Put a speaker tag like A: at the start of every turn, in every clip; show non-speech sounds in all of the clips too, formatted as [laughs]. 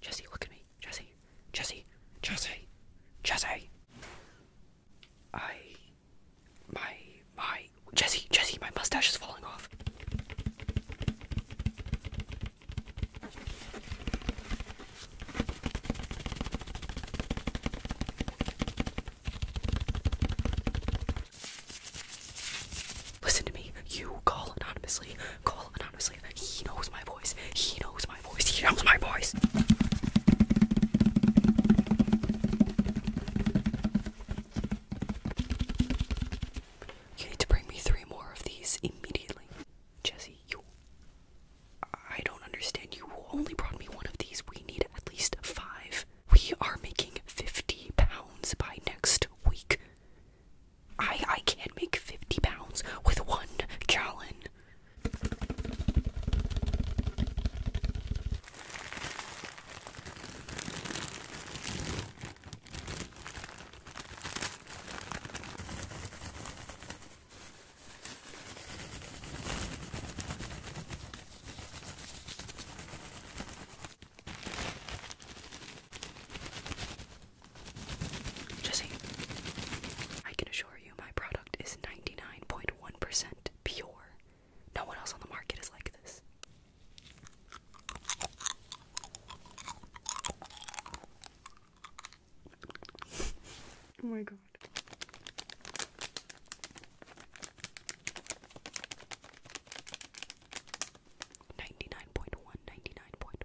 A: Jesse, look at me. Jesse, Jesse, Jesse, Jesse. I. My. My. Jesse, Jesse, my mustache is falling off. Listen to me. You call anonymously. Call anonymously he knows my voice. He knows my voice. He knows my voice. You need to bring me three more of these immediately. Jesse, you. I don't understand. You only brought me one of these. We need at least five. We are making 50 pounds by next week. I I can't make 50 pounds with one gallon. Jesse, I can assure you my product is 99.1% pure. No one else on the market is like this. Oh my god. Ninety nine point one, ninety nine point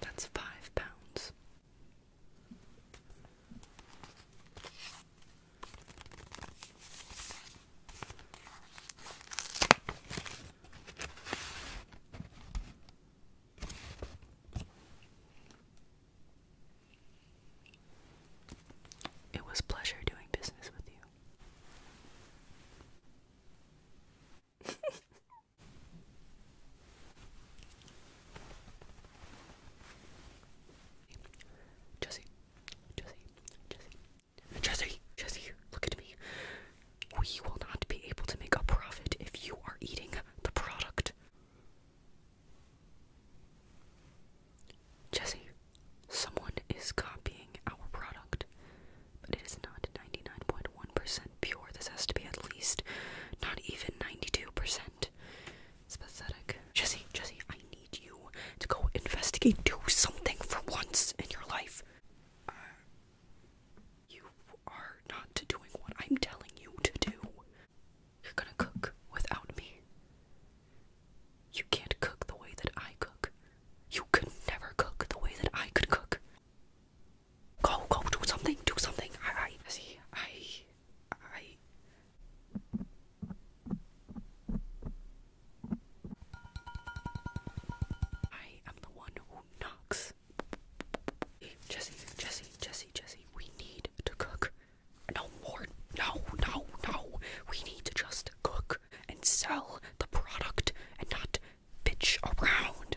A: That's five pounds. It was pleasure doing business with you. [laughs] Jesse, Jesse, Jesse, Jesse, Jesse, look at me. We will not be able to make a profit if you are eating the product. Jesse, someone is copying our product, but it is not 99.1% pure. This has to be at least not even 92%. It's pathetic. Jesse, Jesse, I need you to go investigate. Do something for once in your life. Uh, you are not doing what I'm telling you to do. You're gonna cook without me. You can't cook the way that I cook. You could never cook the way that I could cook. Go, go, do something, do something. I, I see, I, I. I am the one who knocks. Jesse, Jesse, Jesse, Jesse, we need to cook. No more. No, no, no. We need to just cook and sell the product and not bitch around.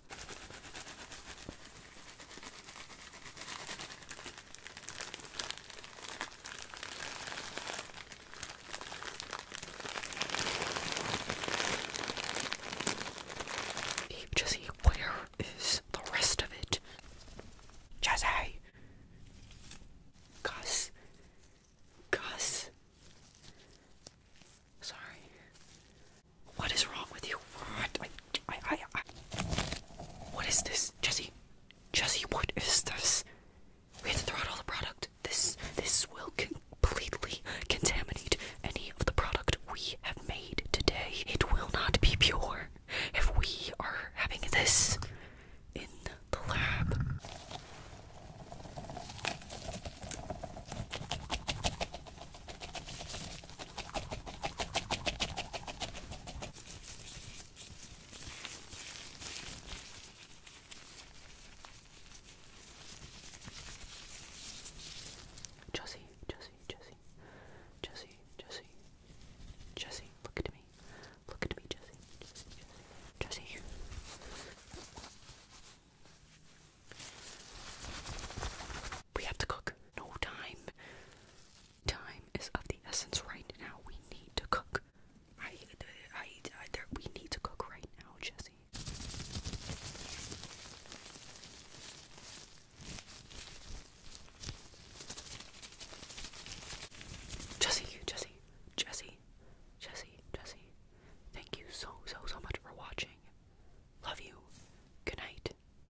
A: Jesse, where is the rest of it? Jesse! Gus. Gus. Sorry. What is wrong with you? What? I, I, I, I. What is this, Jesse? Jesse, what is this? We have to throw out all the product. This, this will completely contaminate any of the product we have made today. It will not be pure if we are having this in the lab. Josie, Josie, Josie, Josie, Josie, Josie, look at me, look at me, Josie, Josie, Josie. We have to cook. No time. Time is of the essence right now. We need to cook. I, I, I there, we need to cook right now, Jesse. Jesse, Jesse, Jesse, Jesse, Jesse. Thank you so, so, so much for watching. Love you. Good night.